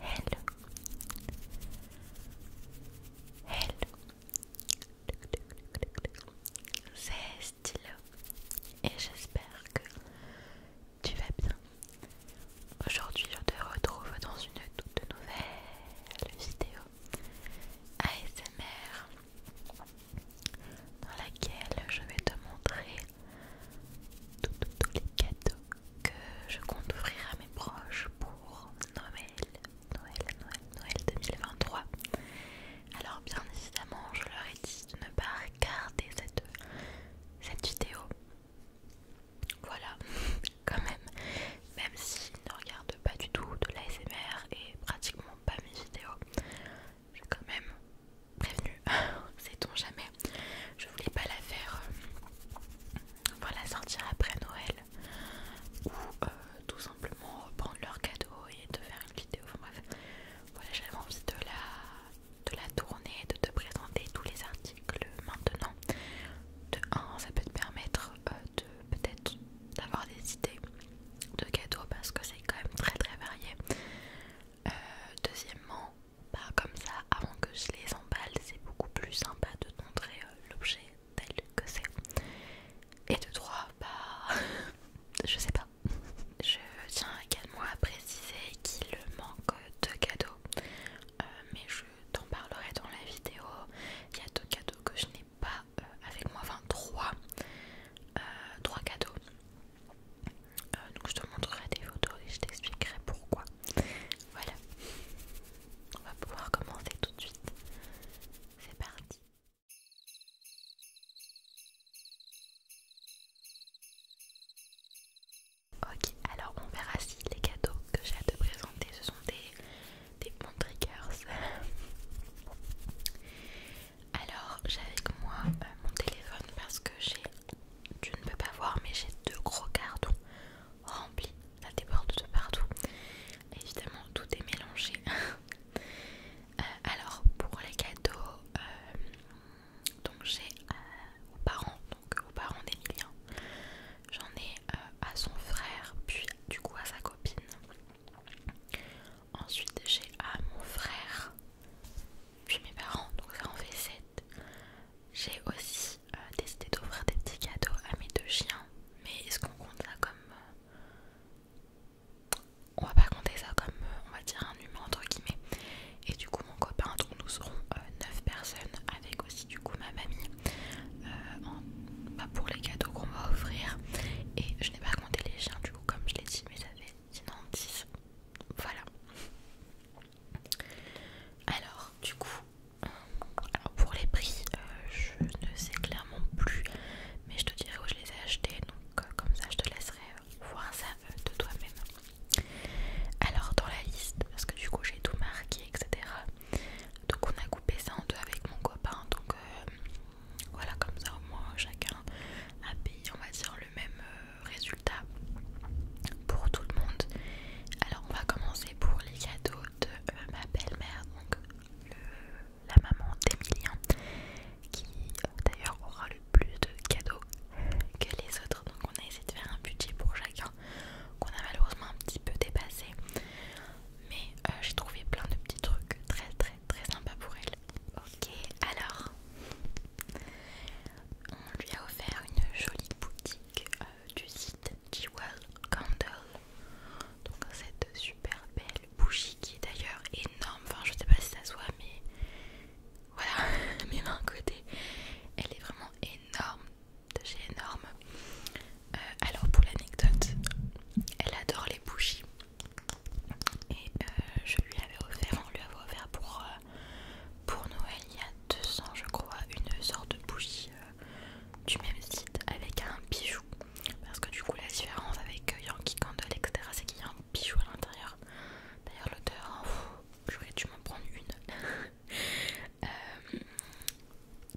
Hello. Hello. C'est Stylo et j'espère que tu vas bien. Aujourd'hui, je te retrouve dans une toute nouvelle vidéo ASMR dans laquelle je vais te montrer tous les cadeaux que je compte offrir à mes proches pour Noël, Noël, Noël, 2023. Alors bien évidemment, je leur ai dit de ne pas regarder cette, cette vidéo. Voilà, quand même, même s'ils ne regardent pas du tout de l'ASMR et pratiquement pas mes vidéos, j'ai quand même prévenu, sait-on jamais. Je voulais pas la faire, voilà, euh, sortir après Noël ou euh, tout simplement reprendre leur cadeau et de faire une vidéo. Enfin bref, voilà, j'avais envie de la, tourner, de te présenter tous les articles maintenant. De 1, ça peut te permettre euh, de peut-être d'avoir des idées de cadeaux parce que c'est quand même très très varié euh, deuxièmement, bah, comme ça, avant que je les emballe, c'est beaucoup plus sympa de montrer euh, l'objet tel que c'est. Et de trois, bah, je sais pas. Je tiens également à préciser qu'il manque deux cadeaux, euh, mais je t'en parlerai dans la vidéo. Il y a deux cadeaux que je n'ai pas avec moi, enfin trois, trois cadeaux euh, donc je te montrerai des photos et je t'expliquerai pourquoi. Voilà. On va pouvoir commencer tout de suite. C'est parti. Ok, alors on verra si les cadeaux que j'ai à te présenter ce sont des, des bons triggers. Alors j'ai avec moi euh, mon téléphone parce que j'ai, tu ne peux pas voir mais j'ai deux gros cartons remplis, ça déborde de partout. Évidemment tout est mélangé. Euh, alors pour les cadeaux, euh, donc j'ai aux parents, donc aux parents d'Emilien, j'en ai à son frère, puis du coup à sa copine. Ensuite j'ai à mon frère puis mes parents, donc ça en fait 7. J'ai aussi euh, décidé d'offrir des petits cadeaux à mes deux chiens, mais est-ce qu'on compte ça comme. Euh, on va pas compter ça comme, euh, on va dire, un humain entre guillemets. Et du coup, mon copain, donc nous serons 9 personnes, avec aussi du coup ma mamie, bah, pour les cadeaux qu'on va offrir. Et je n'ai pas compté les chiens, du coup, comme je l'ai dit, mais ça fait ans 10. Voilà. Alors, du coup, euh, pour les prix, euh, je ne sais clairement plus, mais je te dirai où je les ai achetés, donc euh, comme ça je te laisserai voir ça de toi-même. Alors, dans la liste, parce que du coup j'ai tout marqué, etc. Donc, on a coupé ça en deux avec mon copain, donc voilà, comme ça au moins chacun a payé, on va dire, même euh, résultat pour tout le monde. Alors on va commencer pour les cadeaux de euh, ma belle-mère, donc la maman d'Emilien, qui euh, d'ailleurs aura le plus de cadeaux que les autres. Donc on a essayé de faire un budget pour chacun qu'on a malheureusement un petit peu dépassé. Mais j'ai trouvé plein de petits trucs très très très sympas pour elle. Ok, alors on lui a offert une jolie boutique euh, du site Jewel Candle. Donc cette super belle bougie qui est d'ailleurs énorme. Enfin je sais pas si ça se voit mais voilà, mais d'un côté elle est vraiment énorme, de énorme. Euh, alors pour l'anecdote, elle adore les bougies et euh, je lui avais offert, on lui avait offert pour pour Noël il y a 200, je crois une sorte de bougie euh, du même site avec un bijou parce que du coup la différence avec euh, Yankee Candle etc c'est qu'il y a un bijou à l'intérieur d'ailleurs l'odeur hein, j'aurais dû m'en prendre une euh,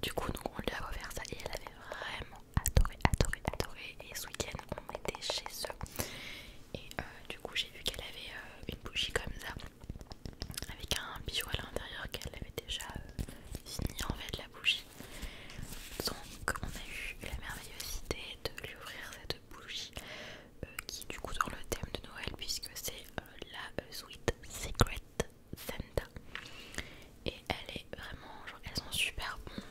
du coup donc on lui a offert ça et elle avait vraiment adoré adoré adoré et ce week-end on était chez eux et euh, du coup j'ai vu qu'elle avait euh, une bougie comme ça avec un bijou à l'intérieur qu'elle avait déjà fini euh, en fait la bougie donc on a eu la merveilleuse idée de lui ouvrir cette bougie qui du coup dans le thème de Noël puisque c'est la Sweet Secret Santa et elle est vraiment genre elles sont super bon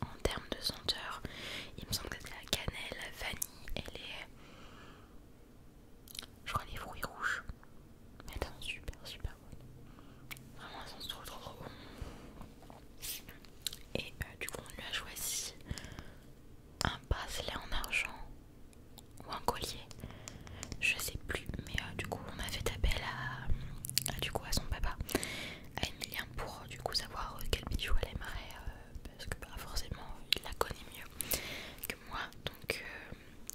en termes de senteur, il me semble que c'est la cannelle, la vanille et les. Je crois les fruits rouges. Mais elles sont super, super bonnes. Vraiment, elles sont trop, trop, trop bonnes. Et euh, du coup, on lui a choisi un bracelet en argent ou un collier. Je sais plus, mais euh, du coup, on a fait appel à son papa à Emilien pour euh, du coup savoir euh, quel bijou elle aimerait euh, parce que bah, forcément il la connaît mieux que moi donc,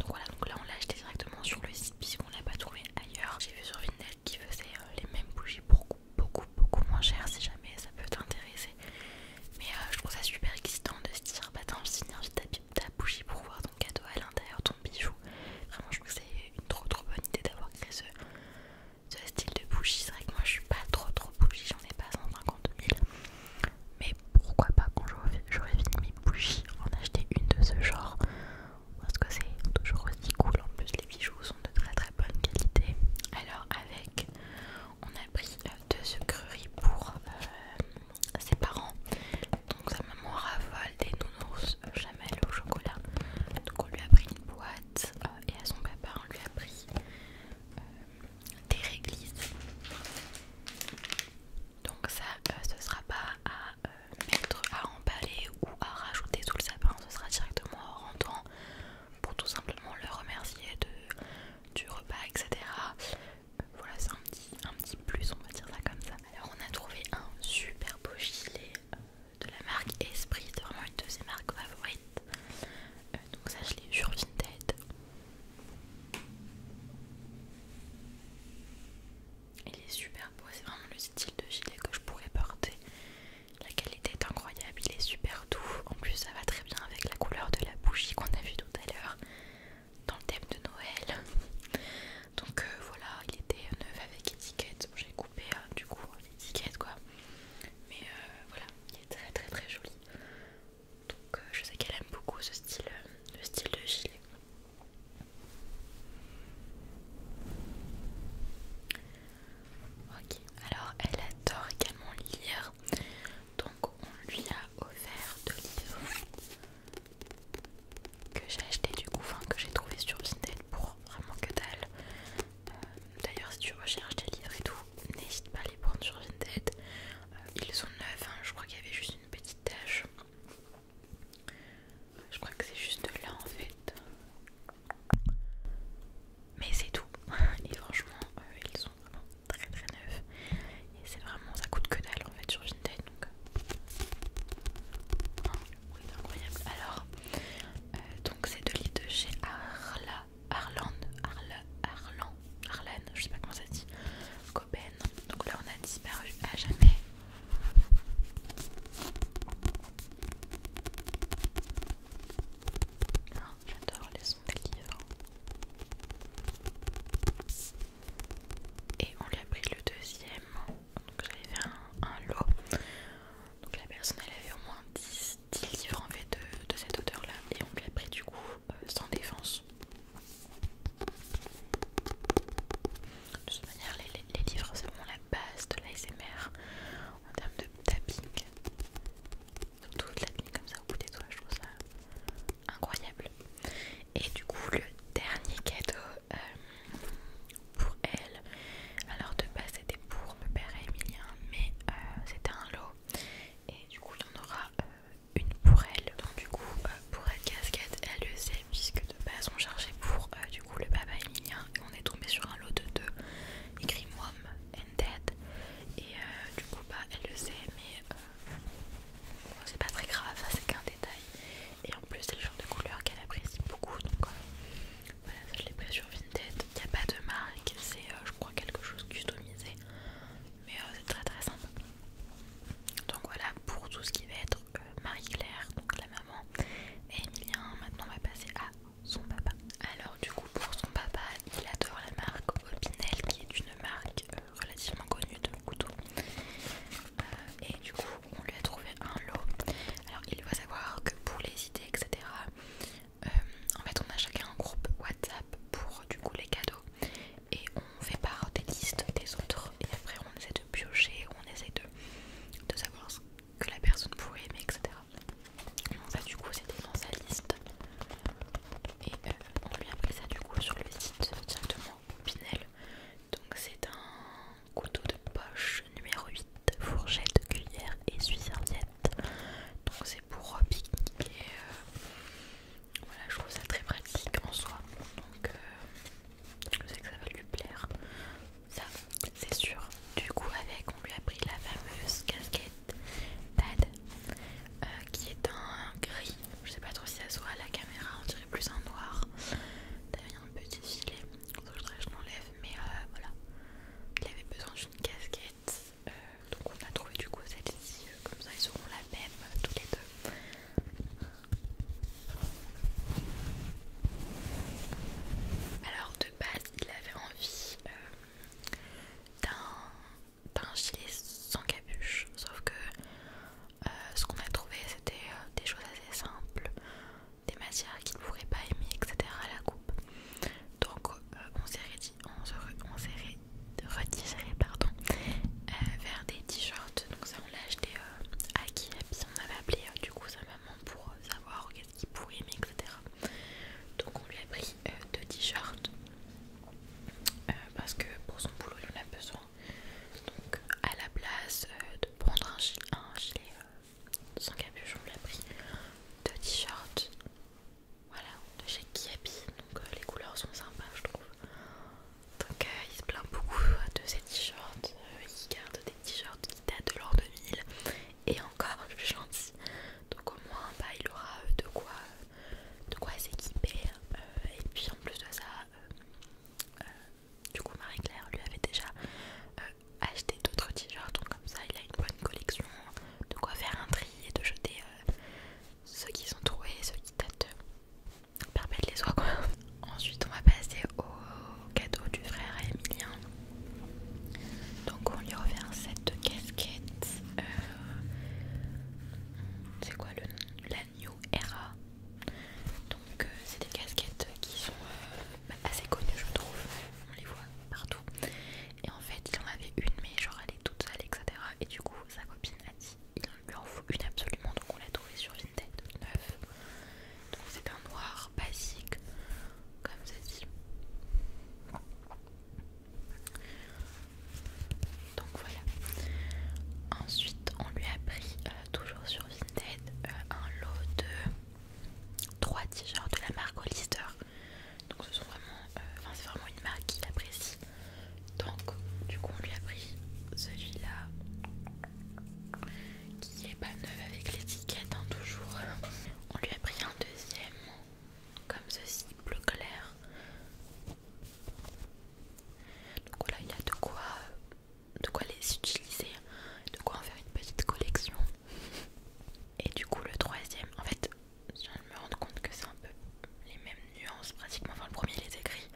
voilà donc là on l'a acheté directement sur le site puisqu'on l'a pas trouvé ailleurs j'ai vu sur Vinted qui faisait les mêmes bougies pour beaucoup beaucoup moins cher si jamais ça peut t'intéresser mais je trouve ça super excitant de se dire bah attends je ta, ta bougie pour voir ton cadeau à l'intérieur ton bijou vraiment je trouve que c'est une trop trop bonne idée d'avoir créé ce, ce style de bougie. C'est vrai que moi je suis pas trop trop bougie, j'en ai pas 150 000. Mais pourquoi pas quand j'aurais fini mes bougies, en acheter une de ce genre parce que c'est toujours aussi cool. En plus, les bijoux sont de très très bonne qualité. Alors, avec, on a pris euh, deux sucreries pour euh, ses parents. Donc, sa maman raffole des nounours jamais euh, au chocolat. Donc, on lui a pris une boîte. Euh, et à son papa on lui a pris euh, des réglisses. Donc ça euh, ce sera pas à mettre à emballer ou à rajouter sous le sapin, ce sera directement en temps pour tout simplement le remercier du repas etc. voilà c'est un petit, plus on va dire ça comme ça. Alors on a trouvé un super beau gilet de la marque Esprit, c'est vraiment une de ses marques favorites. Euh, donc ça je l'ai sur Vinted. Il est super beau, c'est vraiment le style de gilet que je pourrais porter. La qualité est incroyable, il est super doux. En plus ça va très bien avec la couleur de la bougie qu'on a vu tout à l'heure dans le thème de Noël. Donc euh, voilà, il était neuf avec étiquette. J'ai coupé euh, du coup étiquette quoi. Mais euh, voilà, il est très très très joli. Donc euh, je sais qu'elle aime beaucoup ce style, euh, le style de gilet. Ok, alors elle adore également lire. Donc on lui a offert deux livres que j'ai acheté du coup, que j'ai trouvé sur internet pour vraiment que dalle. D'ailleurs, si tu recherches des livres et tout, n'hésite pas à les prendre sur Vinted. Euh, ils sont neufs, hein. je crois qu'il y avait juste une petite tache. Je crois que c'est juste là en fait. Mais c'est tout. Et franchement, euh, ils sont vraiment très très neufs. Et c'est vraiment, ça coûte que dalle en fait sur Vinted. Donc, euh. ah, oui, c'est incroyable. Alors, donc c'est deux l'île de chez Arla Arlan, Arlan, Arlan, Arlan, je sais pas comment ça dit, Coben. Donc là on a disparu à jamais. Oh, j'adore les sons des livres. Et on lui a pris le deuxième. Donc j'avais fait un lot. Donc la personne elle avait au moins 10 10 livres en fait de, cette odeur là et on l'a pris du coup euh, sans défense. De toute manière les, les, livres c'est vraiment la base de l'ASMR en termes de tapping. Surtout de la nuit comme ça au bout des doigts je trouve ça incroyable. Et du coup le dernier cadeau euh, pour elle alors de base c'était pour le père et Emilien mais euh, c'était un lot et du coup il y en aura euh, une pour elle. Donc du coup euh, pour elle casquette elle le sait puisque de base on cherchait pour du coup le papa Emilien et on est tombé sur un lot de deux écrit and Dead et du coup bah elle le sait mais c'est pas très grave, ça c'est qu'un détail et en plus c'est le genre de couleur qu'elle apprécie beaucoup donc voilà, je l'ai pris sur Vinted. Il n'y a pas de marque, c'est euh, je crois quelque chose customisé, mais euh, c'est très très sympa. Donc voilà pour tout ce qui va être euh, Marie-Claire, donc la maman et Emilien. Maintenant on va passer à son papa. Alors du coup pour son papa, il adore la marque Opinel qui est une marque relativement connue de couteaux. et du coup on lui a trouvé un lot. Alors il va savoir que pour les idées etc. Euh, en fait, on a chacun un groupe WhatsApp pour du coup les cadeaux et on fait part des listes des autres et après on essaie de piocher, on essaie de, de savoir ce que la personne pourrait aimer, etc. Donc ça du coup c'était dans sa liste et euh, on lui a ça du coup sur le site directement Pinel. Donc c'est un couteau de poche numéro 8, fourchette, cuillère et suis-serviette. Donc c'est pour euh, pique-niquer. Euh, voilà, je trouve ça très pratique en soi. Donc, euh, je sais que ça va lui plaire. Ça, c'est sûr. Du coup, avec, on lui a pris la fameuse casquette Tad qui est un gris. Je sais pas trop si ça se voit à la caméra, on dirait plus un noir. T'avais un petit filet, je que je l'enlève, mais voilà. Il avait besoin d'une casquette donc on a trouvé du coup cette ci euh, comme ça ils seront la même euh, toutes les deux. Alors de base il avait envie euh, d'un gilet sans capuche, sauf que ce qu'on a trouvé c'était des choses assez simples, des matières qu'il ne pourrait pas aimer, etc. à la coupe. Donc euh, on s'est dit pardon, euh, vers des t-shirts. Donc ça on l'a acheté euh, à qui on avait appelé du coup sa maman pour savoir qu'est-ce qu'il pouvait aimer, etc. Donc on lui a pris deux t-shirts parce que pour son boulot il en a besoin. Donc à la place de prendre un gilet, sans capuche, on lui a pris deux t-shirts voilà, de chez Kiabi, donc euh, les couleurs sont sympas je trouve. Donc euh, il se plaint beaucoup euh, de ses t-shirts, il garde des t-shirts qui datent de de 2000 et encore je suis Donc au moins bah, il aura de quoi, de quoi s'équiper et puis en plus de ça, du coup Marie-Claire lui avait déjà acheté d'autres t-shirts comme ça il a une bonne collection de quoi faire un tri et de jeter euh, ceux qui sont troués ceux qui datent euh, permettre les oies quoi ensuite on va passer au cadeau du frère Emilien donc on lui a offert un set de casquettes euh, c'est quoi le la New Era donc c'est des casquettes qui sont assez connues je trouve on les voit partout et en fait, il en avait une, mais genre elle est toute seule, etc. Et du coup, sa copine a dit il lui en faut une absolument, donc on l'a trouvé sur Vinted, neuf. Donc c'est un noir basique, comme ceci dit. Donc voilà. Ensuite, on lui a pris, euh, toujours sur Vinted, euh, un lot de 3 t-shirts de la marque Hollister donc ce sont vraiment euh, enfin c'est vraiment une marque qu'il apprécie donc du coup on lui a pris celui là qui est pas neuf avec l'étiquette hein, toujours on lui a pris un deuxième comme ceci bleu clair donc voilà il y a de quoi de quoi les utiliser de quoi en faire une petite collection et du coup, le troisième, en fait, je me rendre compte que c'est un peu les mêmes nuances pratiquement. Enfin, le premier, il est écrit,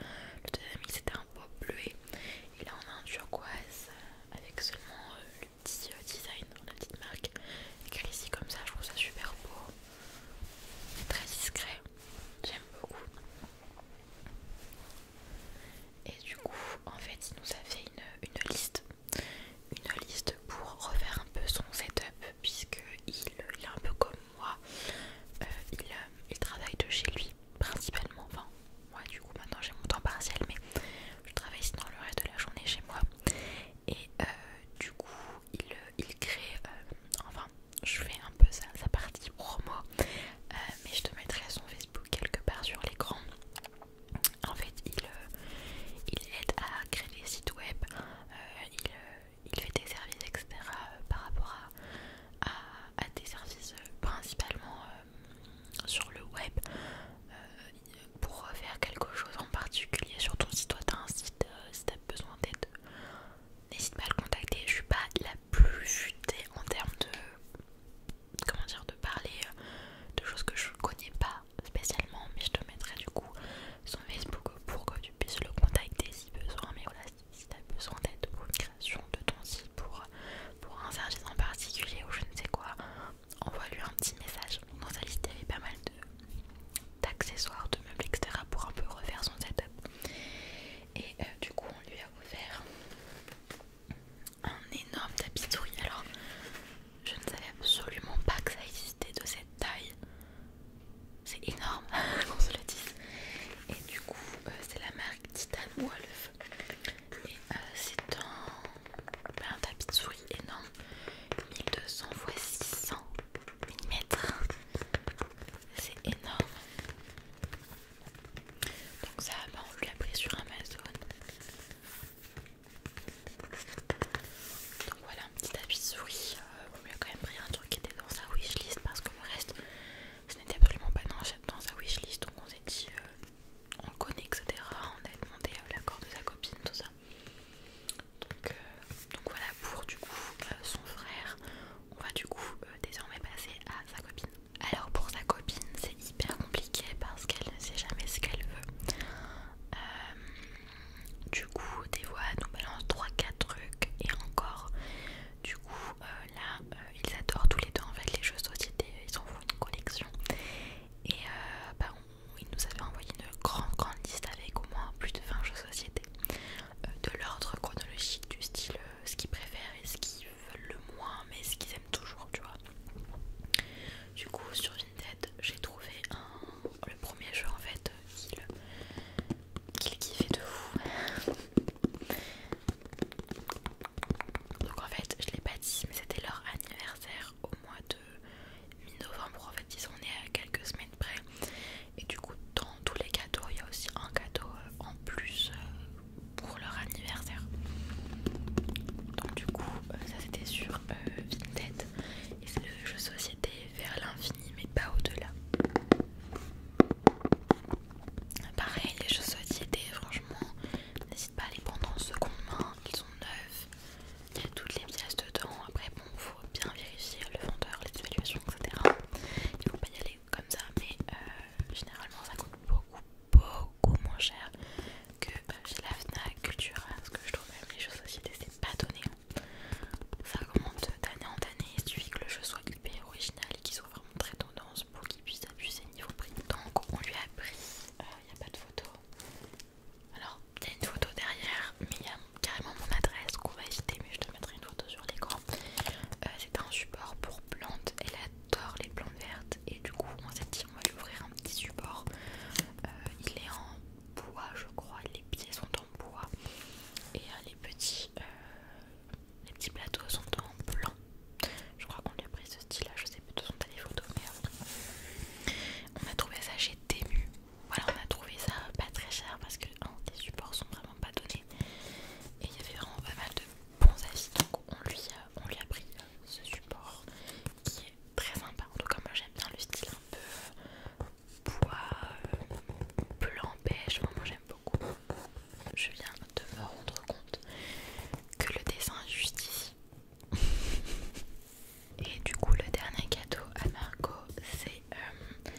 le deuxième, c'était un peu bleu Et là, on a un turquoise euh, avec seulement euh, le petit euh, design, la petite marque écrit ici comme ça. Je trouve ça super beau, très discret. J'aime beaucoup. Et du coup, en fait, il nous a fait une, une liste, une liste pour refaire un peu son setup puisque puisqu'il il est un peu comme moi, euh, euh, il, travaille de chez lui principalement, enfin moi du coup maintenant j'ai mon temps partiel mais je travaille sinon le reste de la journée chez moi et euh, du coup il, crée, enfin je fais un peu sa, sa partie promo mais je te mettrai son Facebook quelque part sur l'écran en fait il, il aide à créer des sites web euh, euh, il, fait des services, etc. Euh, par rapport à, des services principalement sur le web pour faire quelque chose en particulier sur ton site. Toi, tu as un site, si t'as besoin d'aide, n'hésite pas à le contacter. Je suis pas la plus futée en termes de. Comment dire, de parler de choses que je connais pas spécialement, mais je te mettrai du coup son Facebook pour que tu puisses le contacter si besoin. Mais voilà, si t'as besoin d'aide pour une création de ton site, pour, pour un service en particulier ou je ne sais quoi, envoie-lui un petit message. Dans sa liste, il y avait pas mal d'accessoires, de, meubles, etc. pour un peu refaire son setup. Et euh, du coup, on lui a offert un énorme tapis de souris. Alors, je ne savais absolument pas que ça existait de cette taille. C'est énorme, qu'on se le dise. Et du coup, euh, c'est la marque Titan Wolf. Et euh, c'est bah, un, tapis de souris énorme. 1200 x 600 mm. C'est énorme. Donc ça, ben, on l'a pris sur Amazon. Donc voilà, un petit tapis souris. on lui euh, a quand même pris un truc qui était dans sa wishlist parce que le reste, ce n'était absolument pas dans, dans sa wishlist. Donc on s'est dit, euh, on le connaît, etc. On a demandé l'accord de sa copine, tout ça. Donc, euh, donc voilà pour du coup son frère. On va du coup désormais passer à sa copine. Alors pour sa copine, c'est hyper compliqué parce qu'elle ne sait jamais ce qu'elle veut du coup des voix nous balancent 3-4 trucs et encore du coup euh, là euh, ils adorent tous les deux en fait les jeux de société ils en font une collection et euh, bah, ils nous avaient envoyé une grande grande liste avec au moins plus de 20 jeux de société de l'ordre chronologique du style ce qu'ils préfèrent et ce qu'ils veulent le moins mais ce qu'ils aiment toujours tu vois du coup sur Vinted j'ai trouvé un le premier jeu en fait qu'il kiffait de vous Donc en fait je l'ai pas dit mais c'était leur anniversaire au mois de mi-novembre en fait ils sont est à quelques semaines près et du coup dans tous les cadeaux il y a aussi un cadeau euh, en plus euh, pour leur anniversaire. Donc du coup euh, ça c'était sur Vinted et c'est le jeu société vers l'infini mais pas au-delà. Pareil, les choses étaient franchement, n'hésite pas à les prendre en seconde main, ils sont neufs, il y a toutes les pièces dedans, après bon, faut bien vérifier le vendeur, les évaluations, etc. Il faut pas y aller comme ça, mais euh, généralement ça coûte beaucoup, beaucoup moins cher que bah, chez la FNAC, Cultura, parce que je trouve même les choses sociétés c'est pas donné ça commence d'année en année, il suffit que le jeu soit hyper original et qu'il soit vraiment très tendance pour qu'il puisse abuser niveau prix. Donc on lui a pris, il euh, n'y a pas de photo. Alors il y a une photo derrière, mais il y a carrément mon adresse qu'on va acheter mais je te mettrai une photo sur l'écran. Euh, c'est un support pour plantes, elle adore les plantes vertes et du coup on s'est dit on va lui ouvrir un petit support. Euh, il est en bois je crois, les pieds sont en bois et euh, les, petits, euh, les petits plateaux sont en blanc. Je crois qu'on lui a pris ce style là, je sais plus sont les photos mais euh, on a trouvé ça chez Temu. Voilà on a trouvé ça pas très cher parce que les supports sont vraiment pas donnés et il y avait vraiment pas mal de bons avis donc on lui, on a pris ce support qui est très sympa en tout cas moi j'aime bien le style un peu Bois euh, l'empêche. moi j'aime beaucoup. Je viens de me rendre compte que le dessin est juste Et du coup le dernier cadeau à Marco c'est euh,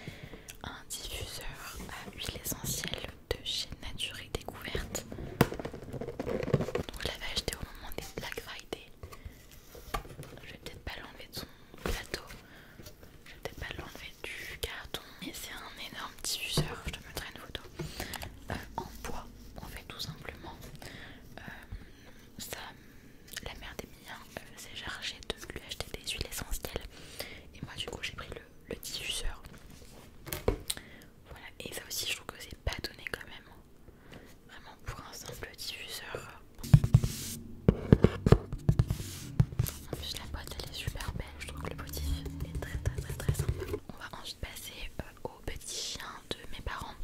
un diffuseur à huile essentielle de chez Nature et Découverte. Donc je l'avais acheté au moment des Black Friday. Je vais peut-être pas l'enlever de son plateau. Je vais pas l'enlever du carton. mais c'est un énorme diffuseur, je te mettrai une photo. Euh, en bois, en fait tout simplement. Euh, ça, la mère des miens euh, s'est chargée de lui acheter des huiles essentielles. Et moi du coup j'ai pris le, le diffuseur. Voilà, et ça aussi je trouve que c'est pas donné quand même. Vraiment pour un simple diffuseur. En plus la boîte elle est super belle, je trouve que le motif est très très très très simple. On va ensuite passer euh, aux petits chiens de mes parents.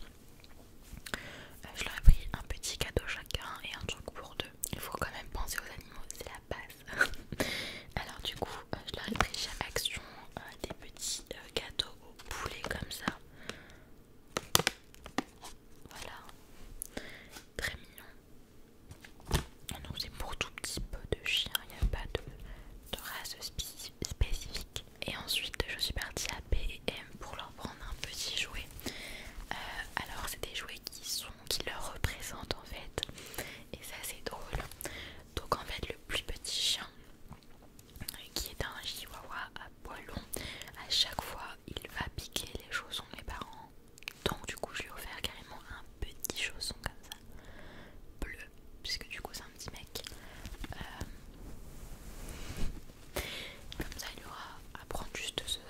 Euh, je leur ai pris un petit cadeau chacun et un truc pour deux. Il faut quand même penser aux animaux, c'est la base. Alors du coup euh, je leur ai pris chez Action des petits gâteaux au poulet comme ça. Voilà, très mignon. Donc c'est pour tout petit peu de chien, il n'y a pas de, race spécifique. Et ensuite je suis partie à Pm pour leur prendre un petit jouet. Euh, alors c'est des jouets qui sont qui leur représentent en fait. Et ça c'est drôle. Donc en fait le plus petit chien euh, qui est un chihuahua à poil long, à chaque fois il va piquer les chaussons des parents. Donc du coup je lui ai offert carrément un petit chausson comme ça, bleu, puisque du coup c'est un petit mec. Euh, comme ça il aura à prendre juste ce,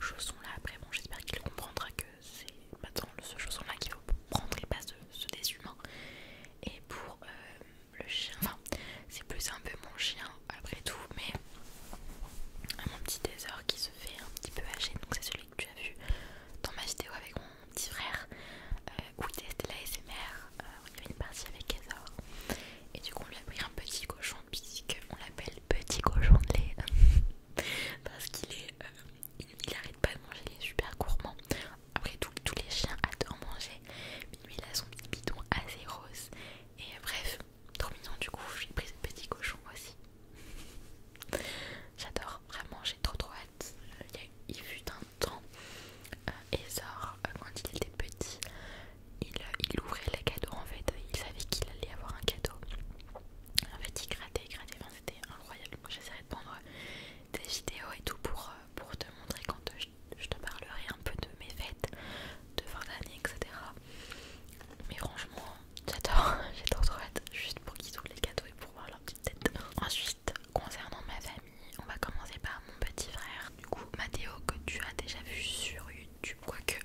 chausson là. Après bon j'espère qu'il comprendra que c'est maintenant ce chausson là qu'il faut prendre et pas ce, ce des Et pour euh, le chien, c'est plus un peu mon chien après tout, mais mon petit Ezor qui se fait un petit peu âgé, donc c'est celui que tu as vu dans ma vidéo avec mon petit frère euh, où il testait la SMR, euh, il y avait une partie avec Ezor et du coup on lui a pris un petit cochon on l'appelle petit cochon de lait parce qu'il est euh, il, arrête pas de manger, il est super gourmand. Après tout, tous les chiens adorent manger, mais lui il a son petit bidon assez rose. Et bref, Trop du coup, j'ai pris ce petit cochon aussi. J'adore, vraiment, j'ai trop trop hâte. Il, y a, fut un temps, euh, Ezor, euh, quand il était petit, euh, il, ouvrait les cadeaux en fait. Il savait qu'il allait avoir un cadeau. En fait, il grattait, il grattait, enfin, c'était incroyable. J'essaierai de prendre des vidéos et tout pour, pour te montrer quand je, je te parlerai un peu de mes fêtes de fin d'année, etc. Mais franchement, j'adore, j'adore trop juste pour qu'ils ouvrent les cadeaux et pour voir leur petite tête. Ensuite, concernant ma famille, on va commencer par mon petit frère, du coup, Mathéo, que tu as déjà vu sur YouTube, quoique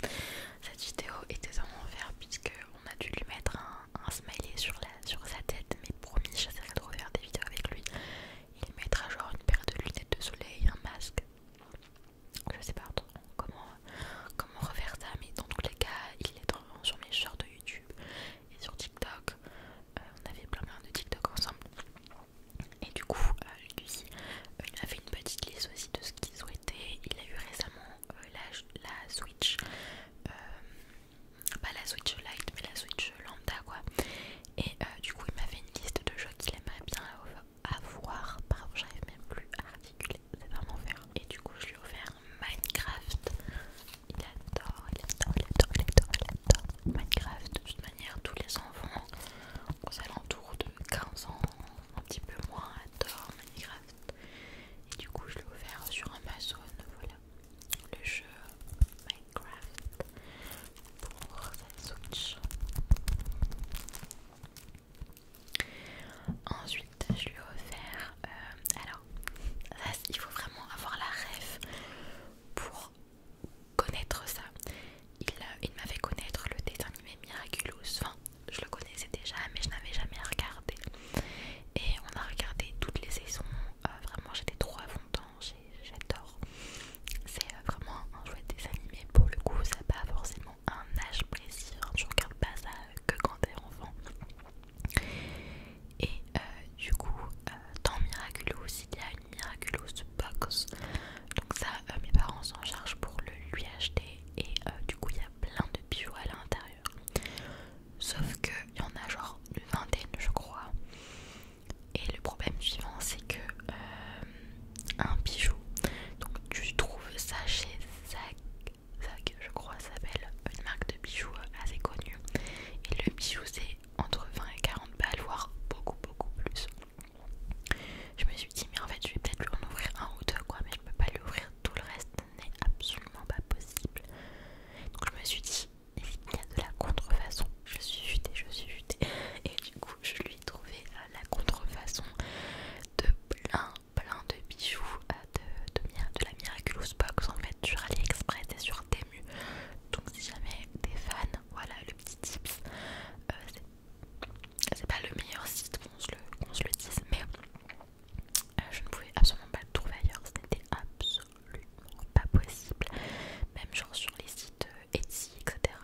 cette vidéo était en enfer, puisque on a dû lui mettre un, smiley sur, la, sur sa tête, mais promis, j'essaierai de refaire des vidéos avec lui. Il mettra genre une paire de lunettes de soleil, un masque je sais pas comment, comment refaire ça, mais dans tous les cas, il est sur mes shorts de YouTube et sur TikTok. Euh, on avait plein plein de TikTok ensemble. Et du coup, euh, lui, euh, il m'a fait une petite liste aussi de ce qu'il souhaitait. Il a eu récemment la, Switch, pas la Switch Lite, mais la Switch Lambda quoi. Et du coup, il m'a fait une liste de jeux qu'il aimerait bien à avoir, pardon j'arrive même plus à articuler, c'est vraiment faire. Et du coup je lui ai offert Minecraft, il adore, il adore, il adore, il adore, il adore Minecraft. De toute manière tous les enfants aux alentours de 15 ans, un petit peu moins, adore Minecraft. Et du coup je lui ai offert sur Amazon, voilà, le jeu Minecraft pour sa Switch. Ensuite, je lui refais. Euh, alors, il faut vraiment avoir la ref pour connaître ça. Il, euh, il m'a fait connaître le dessin animé Miraculous. Enfin, je le connaissais déjà, mais je n'avais jamais regardé. Et on a regardé toutes les saisons. Euh, vraiment, j'étais trop à J'adore. C'est vraiment un jouet désanimé, Pour le coup, ça n'a pas forcément un âge plaisir, hein. je tu pas ça euh, que quand t'es enfant. Et euh, du coup, euh, dans Miraculous, il y a une Miraculous Box. Donc, ça, mes parents s'en chargent pour le lui acheter. Et du coup, il y a plein de bijoux à l'intérieur. Sauf qu'il y en a genre une vingtaine, je crois. Et le problème suivant, c'est que un bijou. Donc tu trouves ça chez Zach Zag je crois s'appelle, une marque de bijoux assez connue. Et le bijou c'est entre 20 et 40 balles, voire beaucoup beaucoup plus. Je me suis dit mais en fait je vais peut-être lui en ouvrir un ou deux quoi, mais je peux pas lui ouvrir tout le reste, n'est absolument pas possible. Donc je me suis dit il y a de la contrefaçon, je suis futée, je suis futée. Et du coup je lui ai trouvé euh, la contrefaçon de plein plein de bijoux de, la Miraculous Box en fait sur AliExpress et sur Temu donc si jamais t'es fan voilà le petit tips euh, c'est pas le meilleur site qu'on se, le dise mais euh, je ne pouvais absolument pas le trouver ailleurs c'était absolument pas possible même genre sur les sites euh, Etsy etc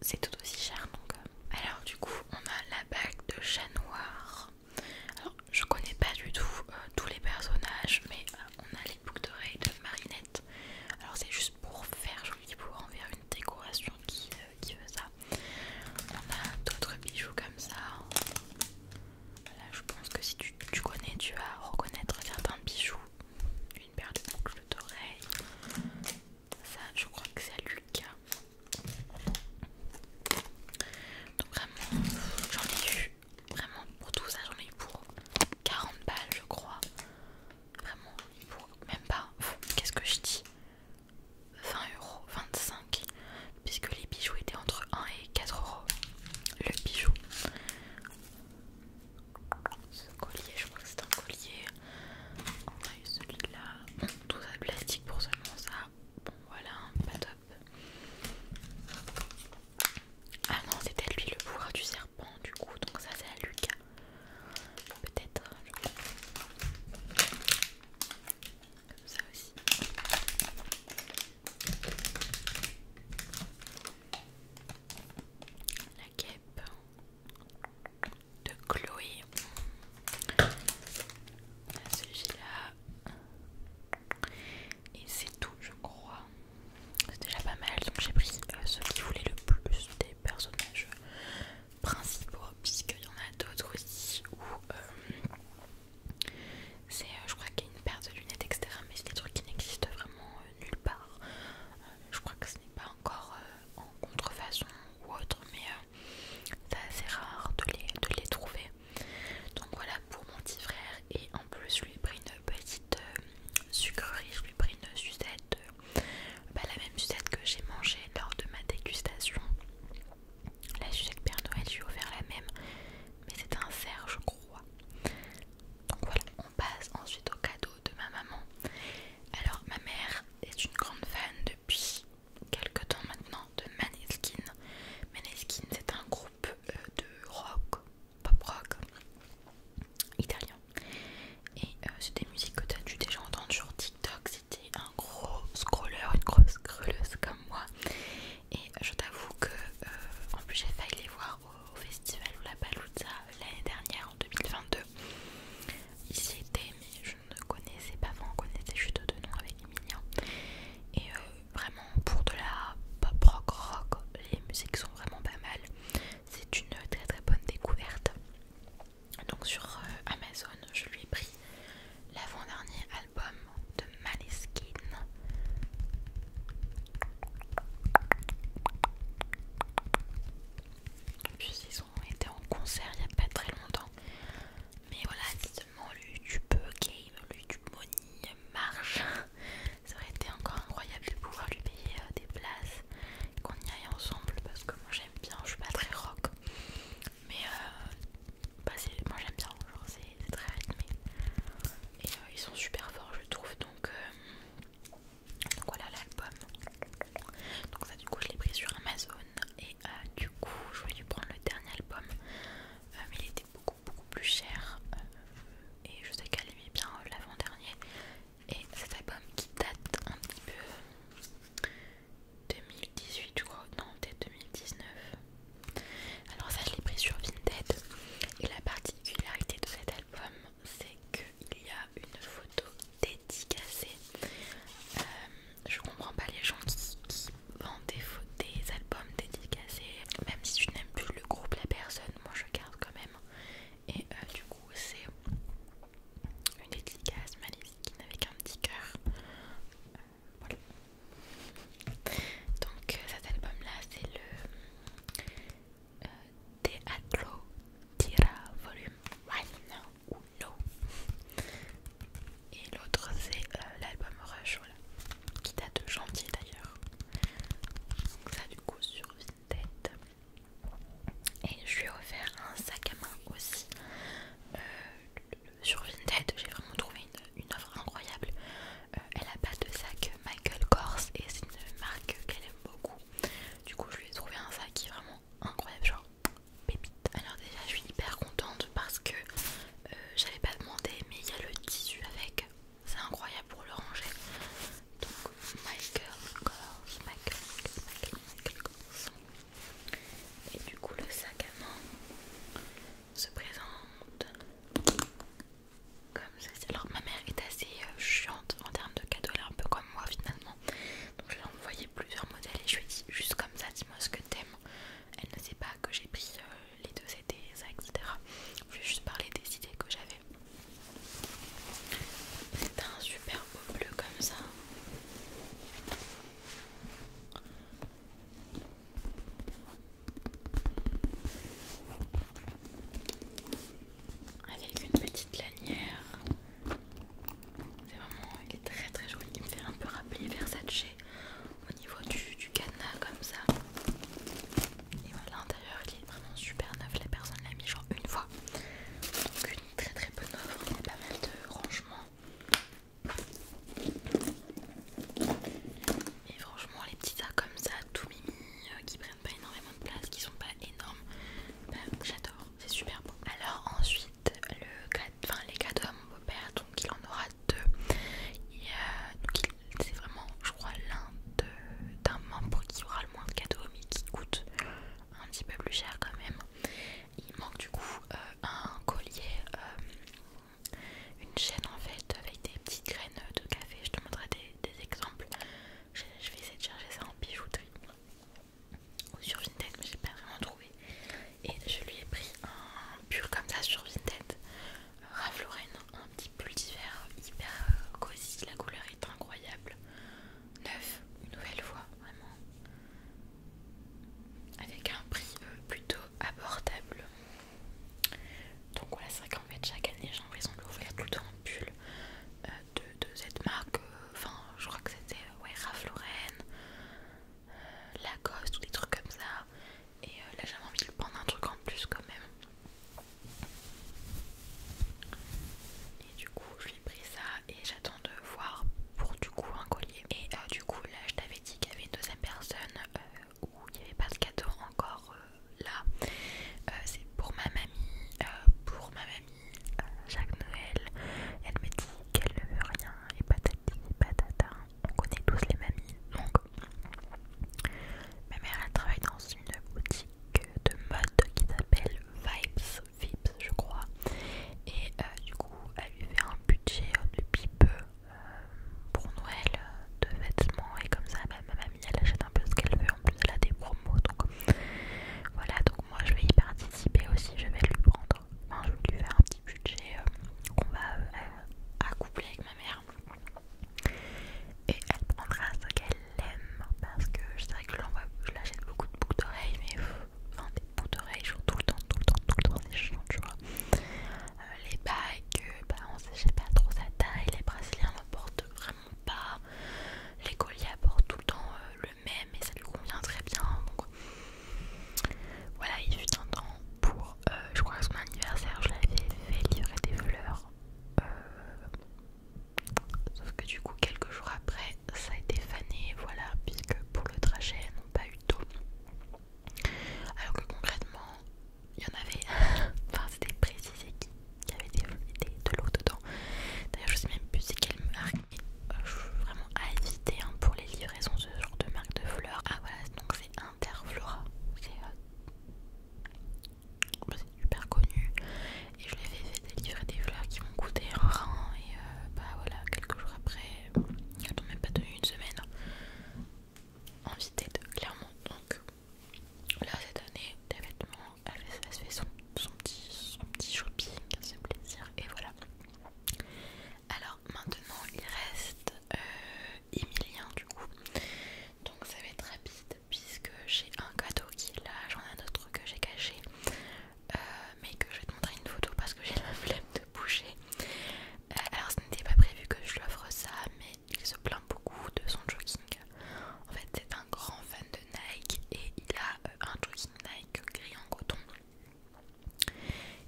c'est tout aussi cher donc. Euh. Alors du coup on a la bague de chat noir. Alors je connais pas du tout euh, tous les personnages mais euh, on a les boucles d'oreilles de Marinette. Alors c'est juste pour faire joli, pour en faire une décoration qui, veut ça. On a d'autres bijoux comme ça. là je pense que si tu connais tu vas reconnaître certains bijoux. Une paire de boucles d'oreilles, ça, je crois que c'est à Lucas. Donc vraiment, j'en ai eu vraiment pour tout ça, j'en ai eu pour 40 balles, je crois. Vraiment, pour même pas, qu'est-ce que je dis 20 euros, 25, puisque les bijoux étaient entre 1 et 4 euros. Le bijou. Ce collier, je crois que c'est un collier. On a eu celui-là. tout ça plastique pour seulement ça. Bon, voilà, pas top. Ah non, c'était lui le pouvoir du serpent, du coup. Donc, ça, c'est à Lucas. Peut-être. Euh, Comme ça aussi. La guêpe de Chloé. Celui-là. Et c'est tout, je crois. C'est déjà pas mal, donc j'ai pris euh, ceux qui voulaient le plus des personnages principaux, puisqu'il y en a d'autres aussi où euh, c'est, euh, je crois qu'il y a une paire de lunettes, etc. Mais c'est des trucs qui n'existent vraiment nulle part. je crois que ce n'est pas encore en contrefaçon ou autre, mais euh, c'est assez rare de les, trouver. Donc voilà pour mon petit frère. Et en plus, je lui ai pris une petite euh, sucrerie, je lui ai pris une sucette, euh, bah, la même sucette que j'ai mangée lors de ma dégustation. La sucette Père Noël, je lui ai offert la même, mais c'est un cerf, je crois. Donc voilà, on passe ensuite au cadeau de ma maman. Alors, ma mère est une grande fan depuis quelque temps maintenant de Maneskin. Maneskin c'est un groupe euh, de rock, pop rock italien. Et euh, c'est des musiques que tu as dû déjà entendre sur TikTok C'était un gros scroller, une grosse scrolleuse comme moi. Et euh, je t'avoue que en plus j'ai failli les voir au, festival ou la Palouza l'année dernière en 2022. Ici était, mais je ne connaissais pas, vraiment, on connaissait juste deux noms avec Emilia Et euh, vraiment pour de la pop rock rock, les musiques sont vraiment pas mal. C'est une très très bonne découverte. Donc sur euh, Amazon, je lui ai pris l'avant-dernier album de Maleskin. Puis on était en concert il n'y a pas très longtemps. Mais voilà, lui, tu peux Game, lui, YouTube Money marche. Ça aurait été encore incroyable de pouvoir lui payer euh, des places, qu'on y aille ensemble parce que moi j'aime bien, je suis pas très rock. Mais euh, bah, moi j'aime bien, genre c'est très rythmé. Et euh, ils sont super forts je trouve donc donc voilà l'album. Donc ça du coup je l'ai pris sur Amazon et euh, du coup je voulais prendre le dernier album euh, mais il était beaucoup beaucoup plus cher euh, et je sais qu'elle aimait bien l'avant-dernier et cet album qui date un petit peu 2018 je crois, non peut-être 2019 alors ça je l'ai pris sur Vinted et la particularité de cet album c'est que il y a une photo dédicacée. Euh, je comprends pas les gens qui, vendent des, albums dédicacés. Même si tu n'aimes plus le groupe, la personne, moi je garde quand même. Et euh, du coup, c'est une dédicace maléfique avec un petit cœur. Euh, voilà. Donc cet album là c'est le Teatro Tira Volume 1 et l'autre c'est euh, l'album Rush, qui date de janvier d'ailleurs. Donc ça du coup sur Vinted. Et je lui ai offert un sac à main aussi. Euh, sur Vinted, j'ai vraiment trouvé une, offre incroyable. Euh, elle a pas de sac Michael Kors et c'est une marque qu'elle aime beaucoup. Du coup je lui ai trouvé un sac qui est vraiment incroyable, genre pépite. Alors déjà je suis hyper contente parce que euh, j'avais pas demandé mais il y a le tissu avec, c'est incroyable pour le ranger. Donc my girl girls, my girl, my Et du coup le sac à main se présente comme ça. Alors ma mère est assez euh, chiante en termes de cadeaux, elle est un peu comme moi finalement. Donc je l'ai envoyé plusieurs modèles et je lui ai dit juste comme ça dis-moi ce que t'aimes. Elle ne sait pas que j'ai pris euh, les deux CD, ça, etc. Je vais juste parler des idées que j'avais. C'est un super beau bleu comme ça. Avec une petite lanière c'est vraiment, il est très très joli. Il me fait un peu rappeler Versace au niveau du, cadenas comme ça. Et voilà, l'intérieur il est vraiment super neuf. La personne l'a mis genre une fois. Donc une très très bonne offre. Il a pas mal de rangements. Et franchement, les petits tas comme ça, tout mimi, euh, qui prennent pas énormément de place, qui sont pas énormes, bah, j'adore, c'est super beau. Alors ensuite, les cadeaux à mon beau-père, donc il en aura deux. Et, euh, c'est vraiment, je crois, l'un d'un membre qui aura le moins de cadeaux, mais qui coûte un petit peu plus cher quand même. Il manque du coup euh, un collier, euh, une chaîne en fait, avec des petites graines de café. Je te montrerai des, exemples. Je, je vais essayer de chercher ça en bijouterie ou sur Vinted, mais j'ai pas vraiment trouvé. Et je lui ai pris un pull comme ça sur Vinted, Ralph Lauren, un petit pull d'hiver hyper euh, cosy, la couleur est incroyable, neuf une nouvelle fois vraiment, avec un prix euh, plutôt abordable. Donc voilà, c'est vrai qu'en fait chaque année j'ai envie de l'ouvrir tout le temps en pull euh, de de cette marque, euh, enfin je crois que c'était euh, ouais, Ralph Lauren, euh, ou des trucs comme ça. Et là j'avais envie de prendre un truc en plus quand même. Et du coup je lui ai pris ça et j'attends de voir pour du coup un collier. Et du coup là je t'avais dit qu'il y avait une deuxième personne où il n'y avait pas de cadeau encore là. C'est pour ma mamie, pour ma mère chaque Noël, elle me dit qu'elle ne veut rien et patati patata. On connaît tous les mamies. Donc, ma mère elle travaille dans une boutique de mode qui s'appelle Vibes, Vibes je crois. Et euh, du coup, elle lui fait un budget euh, depuis peu pour Noël euh, de vêtements et comme ça, ma mamie elle achète un peu ce qu'elle veut. En plus, elle a des promos donc voilà. Donc, moi je vais y participer aussi. Je vais lui prendre enfin, je lui faire un petit budget euh, qu'on va euh, accoupler avec ma mère et elle prendra ce qu'elle aime parce que c'est vrai que je l'achète beaucoup de boucles d'oreilles mais enfin des boucles d'oreilles je tout le temps tout le temps tout le temps c'est chiant tu vois euh, les bagues bah on sait j'ai pas trop sa taille les brésiliens ne portent vraiment pas les colliers portent tout le temps mais ça lui convient très bien. Donc, voilà, il fut un temps pour, euh, je crois, que c'est mon anniversaire, je l'avais fait livrer des fleurs. Euh, sauf que du coup, quelques jours après, ça a été fané, voilà, puisque pour le trajet, elles n'ont pas eu d'eau. Alors que concrètement, il y en avait, enfin c'était précisé qu'il y avait des, de l'eau dedans. D'ailleurs, je sais même plus c'est quelle marque euh, je suis vraiment à éviter hein, pour les livraisons ce genre de marque de fleurs ah voilà donc c'est Interflora c'est euh, super connu et je l'avais fait livrer des fleurs qui m'ont coûté un rein et euh, bah voilà quelques jours après elles n'ont même pas donné une semaine en vitesse clairement donc Là cette donné des vêtements, elle, se fait son, petit, shopping, c'est plaisir, et voilà. Alors maintenant il reste euh, Emilien du coup. Donc ça va être rapide puisque j'ai un cadeau qui est là, j'en ai un autre que j'ai caché. Euh, mais que je vais te montrer une photo parce que j'ai la flemme de bouger. Euh, alors ce n'était pas prévu que je lui offre ça mais il se plaint beaucoup de son jogging. En fait c'est un grand fan de Nike et il a un jogging Nike gris en coton.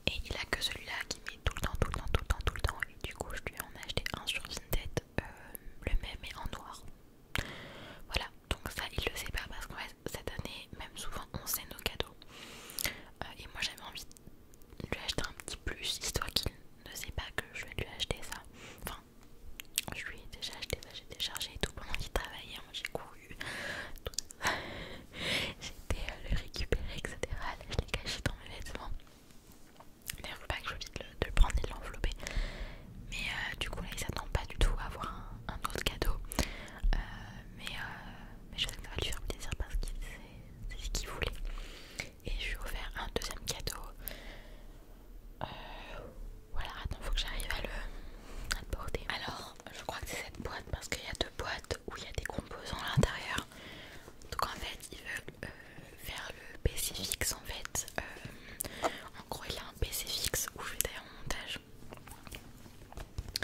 Et il a que celui-là qui met tout le temps, tout le temps, tout le temps, tout le temps. Et du coup, je lui en ai acheté un sur Vinted, euh, le même et en noir. Voilà, donc ça, il le sait pas parce que cette année, même souvent, on sait nos cadeaux. Euh, et moi, j'avais envie de lui acheter un petit plus, histoire qu'il ne sait pas que je vais lui acheter ça. Enfin, je lui ai déjà acheté ça, j'ai déchargé et tout pendant qu'il travaillait. Moi, hein. j'ai couru j'ai j'étais euh, le récupérer etc je l'ai caché dans mes vêtements mais faut pas que j'oublie de, le prendre et de l'envelopper mais euh, du coup là ils s'attend pas du tout à avoir un, autre cadeau euh, mais, je sais que ça va lui faire plaisir parce que c'est ce qu'il voulait et je lui ai offert un deuxième cadeau voilà attends il faut que j'arrive à le porter alors je crois que c'est cette boîte parce qu'il y a deux boîte où il y a des composants à l'intérieur. Donc en fait, ils veulent euh, faire le PC fixe en fait. Euh, en gros, il a un PC fixe où je fais d'ailleurs mon montage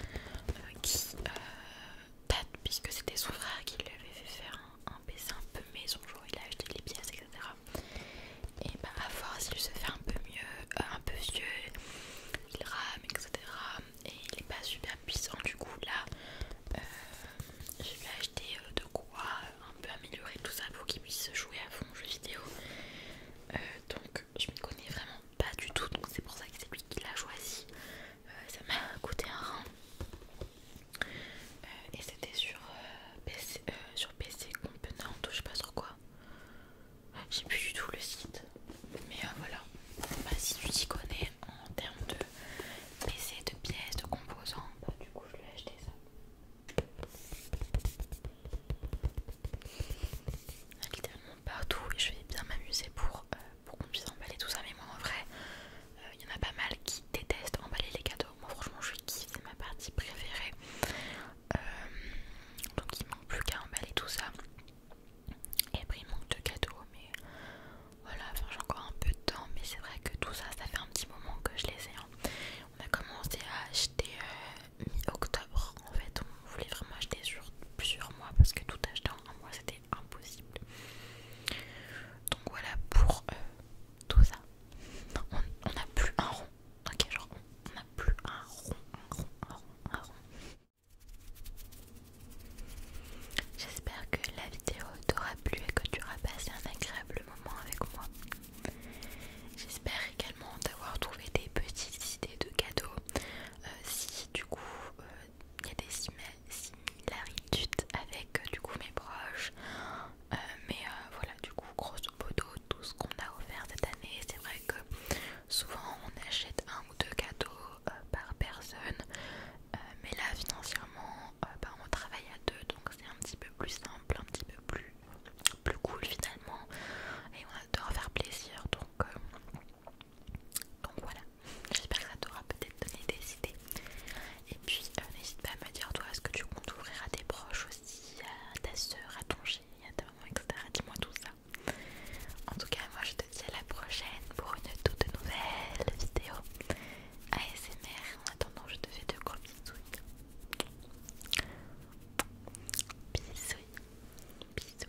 euh, qui date puisque c'était son frère qui lui avait fait faire un, PC un peu maison. Genre, il a acheté les pièces, etc. Et bah, à force, il se fait un peu mieux, un peu vieux, il rame, etc et il est pas super puissant du coup là euh, je vais acheté euh, de quoi euh, un peu améliorer tout ça pour qu'il puisse jouer à fond jeu vidéo donc je m'y connais vraiment pas du tout donc c'est pour ça que c'est lui qui l'a choisi ça m'a coûté un rein et c'était sur, sur PC Component ou je sais pas sur quoi j'ai plus du tout le site, mais euh, voilà. Bah, si tu t'y connais en termes de PC, de pièces, de composants, bah, du coup je lui ai acheté ça. Il Littéralement partout et je vais bien m'amuser pour, euh, pour qu'on puisse emballer tout ça, mais moi en vrai, il euh, y en a pas mal qui détestent emballer les cadeaux. Moi franchement, je kiffe, c'est ma partie préférée. donc il manque plus qu'à emballer tout ça. Et après il manque de cadeaux mais voilà enfin j'ai encore un peu de temps mais c'est vrai que tout ça ça fait un petit moment que je les ai hein. On a commencé à acheter euh, mi-octobre en fait on voulait vraiment acheter sur plusieurs mois parce que tout acheter en un mois c'était impossible Donc voilà pour euh, tout ça On n'a plus un rond Ok genre on n'a plus un rond un rond un rond un rond J'espère que la vidéo t'aura plu et que tu auras passé un agréable moment avec moi. J'espère également d'avoir trouvé des petites idées de cadeaux. Euh, si du coup euh, il y a des similarités avec euh, du coup mes proches. mais voilà du coup grosso modo tout ce qu'on a offert cette année. C'est vrai que souvent on achète un ou deux cadeaux euh, par personne. Euh, mais là, financièrement, euh, bah, on travaille à deux, donc c'est un petit peu plus simple, un petit peu plus, plus cool finalement. Et on adore faire plaisir, donc, donc voilà. J'espère que ça t'aura peut-être donné des idées. Et puis, n'hésite pas à me dire, toi, est-ce que tu comptes ouvrir à tes proches aussi, à ta soeur, à ton gilet, à ta maman, etc. Dis-moi tout ça. En tout cas, moi je te dis à la prochaine pour une toute nouvelle vidéo ASMR. En attendant, je te fais de gros bisous. Bisous. Bisous. Bisous.